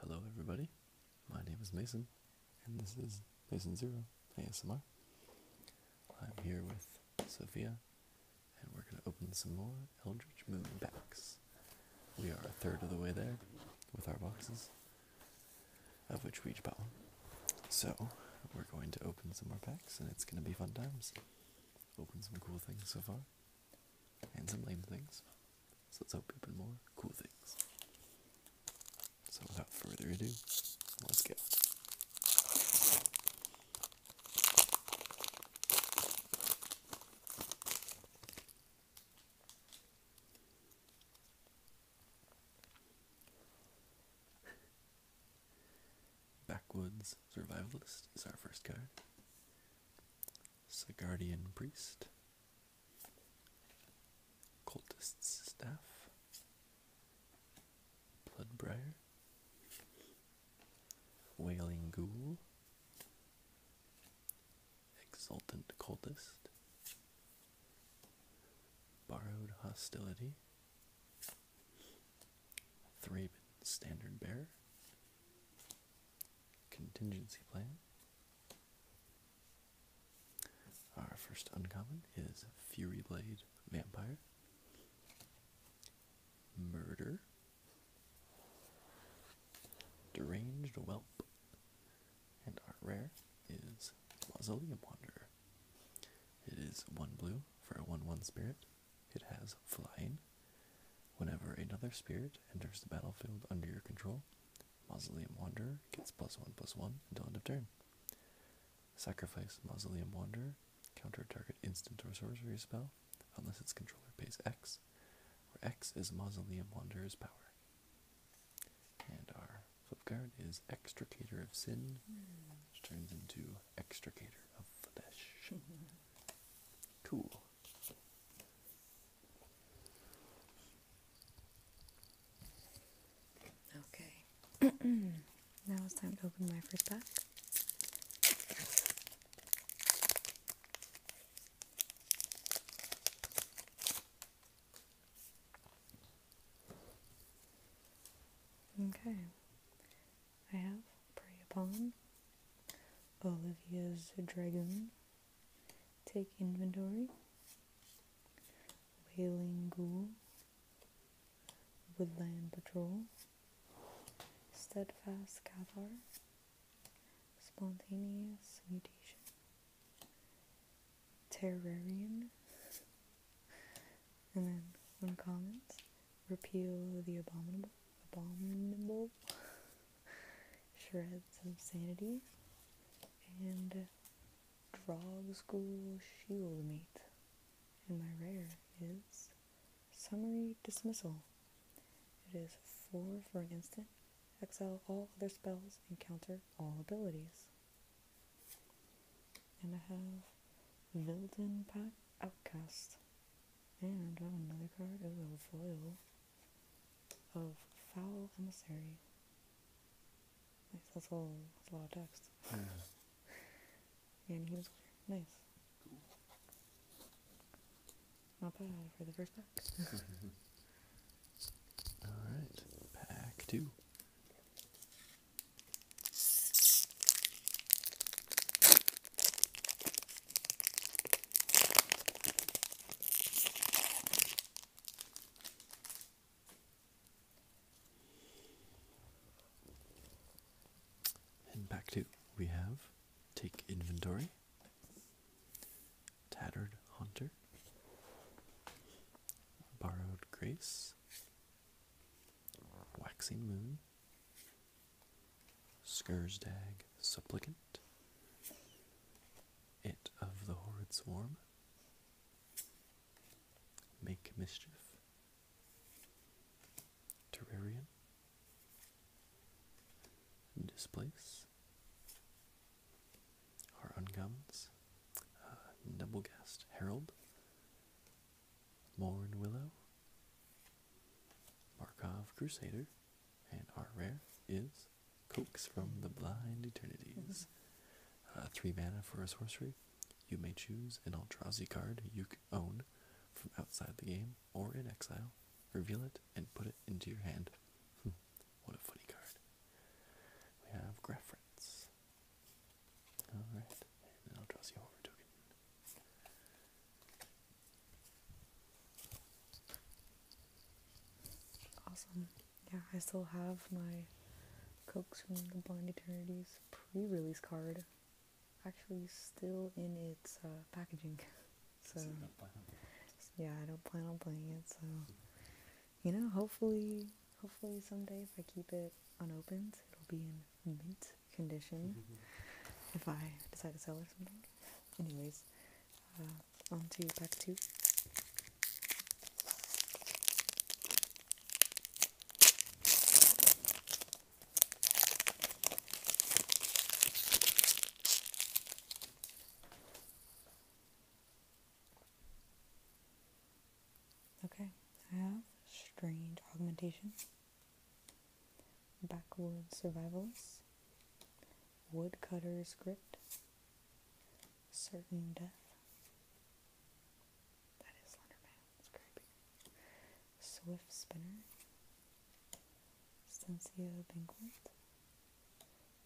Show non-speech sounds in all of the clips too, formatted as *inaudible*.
Hello, everybody. My name is Mason, and this is Mason Zero ASMR. I'm here with Sophia, and we're going to open some more Eldritch Moonbacks. We are a third of the way there with our boxes of which we each bought one. So we're going to open some more packs, and it's going to be fun times. Open some cool things so far, and some lame things. So let's hope we open more cool things. So without further ado, let's go. *laughs* Backwoods Survivalist is our first card. Sigardian Priest. Cultist's Staff. Bloodbriar. Wailing Ghoul exultant cultist, borrowed hostility, Thraben standard bearer, contingency plan. Our first uncommon is Fury Blade Vampire. Murder. Deranged Whelp. And are rare is Mausoleum Wanderer. It is one blue for a 1 1 spirit. It has flying. Whenever another spirit enters the battlefield under your control, Mausoleum Wanderer gets plus 1 plus 1 until end of turn. Sacrifice Mausoleum Wanderer, counter target instant or sorcery spell, unless its controller pays X, where X is Mausoleum Wanderer's power. And our flip card is Extricator of Sin, which turns into Extricator of Flesh. *laughs* cool. Okay. *clears throat* now it's time to open my first pack. Okay, I have Prey Upon, Olivia's Dragon, Take Inventory, Wailing Ghoul, Woodland Patrol, Steadfast Cathar, Spontaneous Mutation. Terrarian. *laughs* and then one comments, repeal the abominable, *laughs* shreds of sanity, and drog school shield meat. And my rare is summary dismissal. It is four for an instant Exile all other spells and counter all abilities. And I have Vilden Pack Outcast. And I have another card, oh, foil of Foul Emissary. Nice, that's all that's a lot of text. *laughs* and he was Nice. I'll Not bad for the first pack. *laughs* Alright, pack two. And back to we have take inventory. Tattered Hunter, Borrowed Grace, Waxing Moon, Scourgedag Supplicant, It of the Horrid Swarm, Make Mischief, Terrarian, displace our uncommons, uh, Nebelgast Herald, Morn Willow, Markov Crusader, and our rare is Coax from the Blind Eternities. Uh, three mana for a sorcery. You may choose an Aldrazi card you own from outside the game or in exile, reveal it, and put it into your hand. Hmm. what a funny card. We have Graphrents. Alright, and I'll dress you over token. Awesome. Yeah, I still have my Cokes from the Blind Eternities pre-release card actually still in its uh, packaging. *laughs* so, yeah, I don't plan on playing it. So, you know, hopefully, hopefully someday if I keep it unopened, it'll be in mint condition. Mm-hmm. if I decide to sell or something. Anyways, uh, on to pack two. Okay, I have strange augmentation, backward survivals, woodcutter's grip, certain death. That is Slenderman. It's creepy. Swift spinner, Stencia Banquet,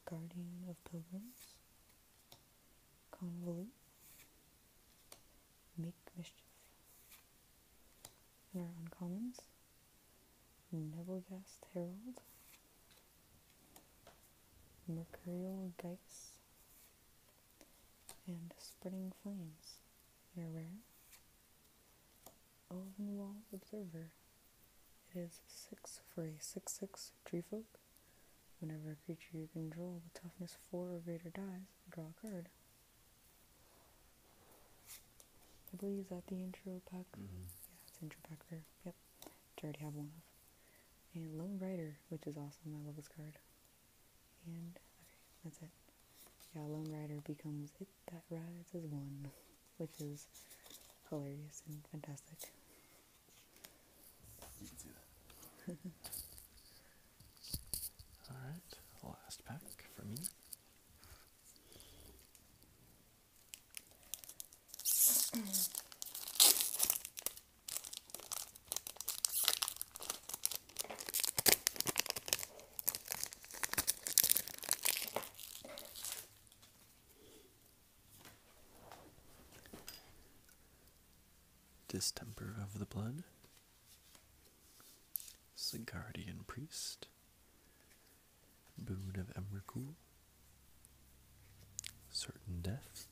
Guardian of Pilgrims, Convolute, Make Mischief, and our uncommons, Nebelgast Herald, Mercurial Geis, and Spreading Flames, and our rare, Ovenwall Observer. It is 6 for a 6 6 tree folk. Whenever a creature you control with toughness 4 or greater dies, draw a card. I believe that the intro pack. Mm-hmm. Yeah, it's intro pack there. Yep, I already have one of. And Lone Rider, which is awesome. I love this card. And that's it. Yeah, Lone Rider becomes it that rides as one, which is hilarious and fantastic. *laughs* Alright, last pack for me. *clears throat* Distemper of the Blood, Sigardian Priest, Boon of Emrakul, Certain Death,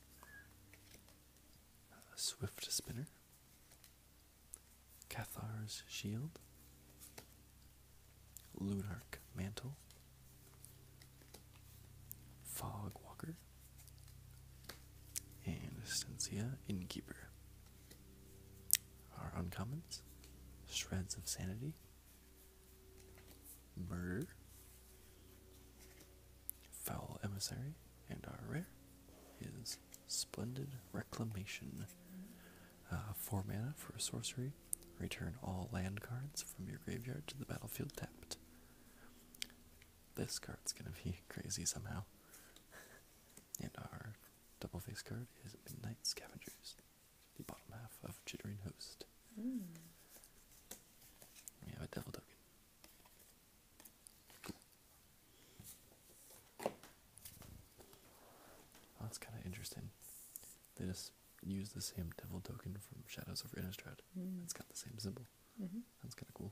Swift Spinner, Cathar's Shield, Lunark Mantle, Fog Walker, and Stencia Innkeeper. Our uncommons, Shreds of Sanity, Murder, Foul Emissary, and our rare is Splendid Reclamation. Uh, four mana for sorcery. Return all land cards from your graveyard to the battlefield tapped. This card's gonna be *laughs* crazy somehow. and our double faced card is Midnight Scavengers, the bottom half of Chittering Host. Hmm. We have a Devil Token that's kind of interesting. They just use the same devil token from Shadows of Innistrad. It's mm-hmm. got the same symbol. Mm-hmm. That's kind of cool.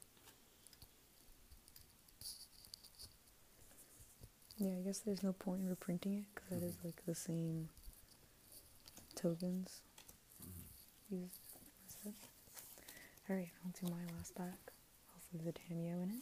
Yeah, I guess there's no point in reprinting it because mm that is like the same tokens. Mm-hmm. All right, I'll do my last pack also the cameo in it.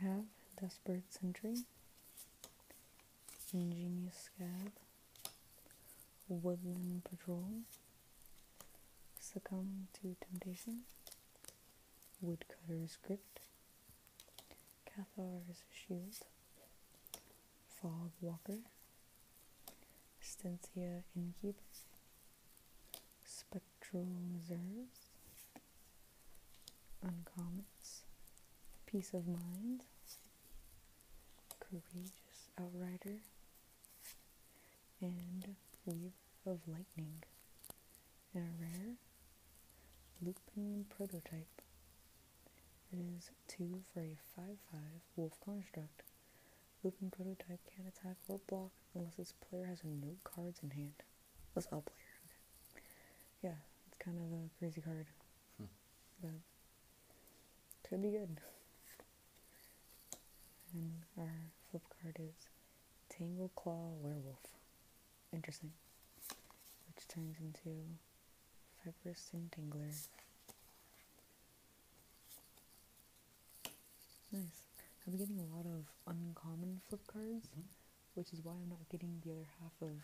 I have Desperate Sentry, Ingenious Scab, Woodland Patrol, Succumb to Temptation, Woodcutter's Grip, Cathar's Shield, Fog Walker, Stencia Innkeeper, spectral reserves, uncommons, peace of mind, courageous outrider, and weaver of lightning, and a rare looping prototype. It is 2 for a 5-5 wolf construct. Looping prototype can't attack or block unless its player has no cards in hand. Let's all play Yeah, it's kind of a crazy card. Hmm. But could be good. And our flip card is Tangle Claw Werewolf. Interesting. Which turns into Fibrous Entangler. Nice. I'm getting a lot of uncommon flip cards, mm-hmm. which is why I'm not getting the other half of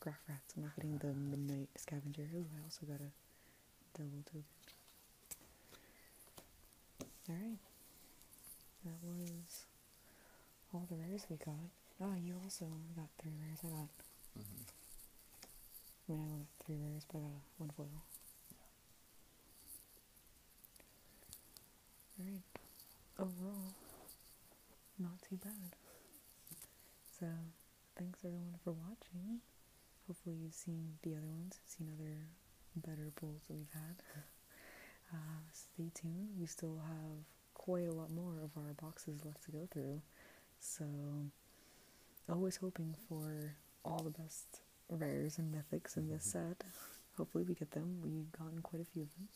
Graph Rats. I'm not getting the Midnight Scavenger. Oh, I also got a double token. Alright. That was all the rares we got. Oh, you also got three rares. I got. Mm-hmm. I mean, I only got three rares, but I got one foil. Alright, overall, not too bad. So, thanks everyone for watching. Hopefully, you've seen the other ones, seen other better bowls that we've had. *laughs* Uh, stay tuned, we still have quite a lot more of our boxes left to go through. So, always hoping for all the best rares and mythics in this set. Hopefully, we get them. We've gotten quite a few of them.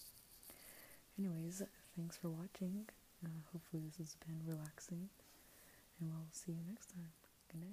Anyways, thanks for watching. Uh, hopefully, this has been relaxing, and we'll see you next time. Good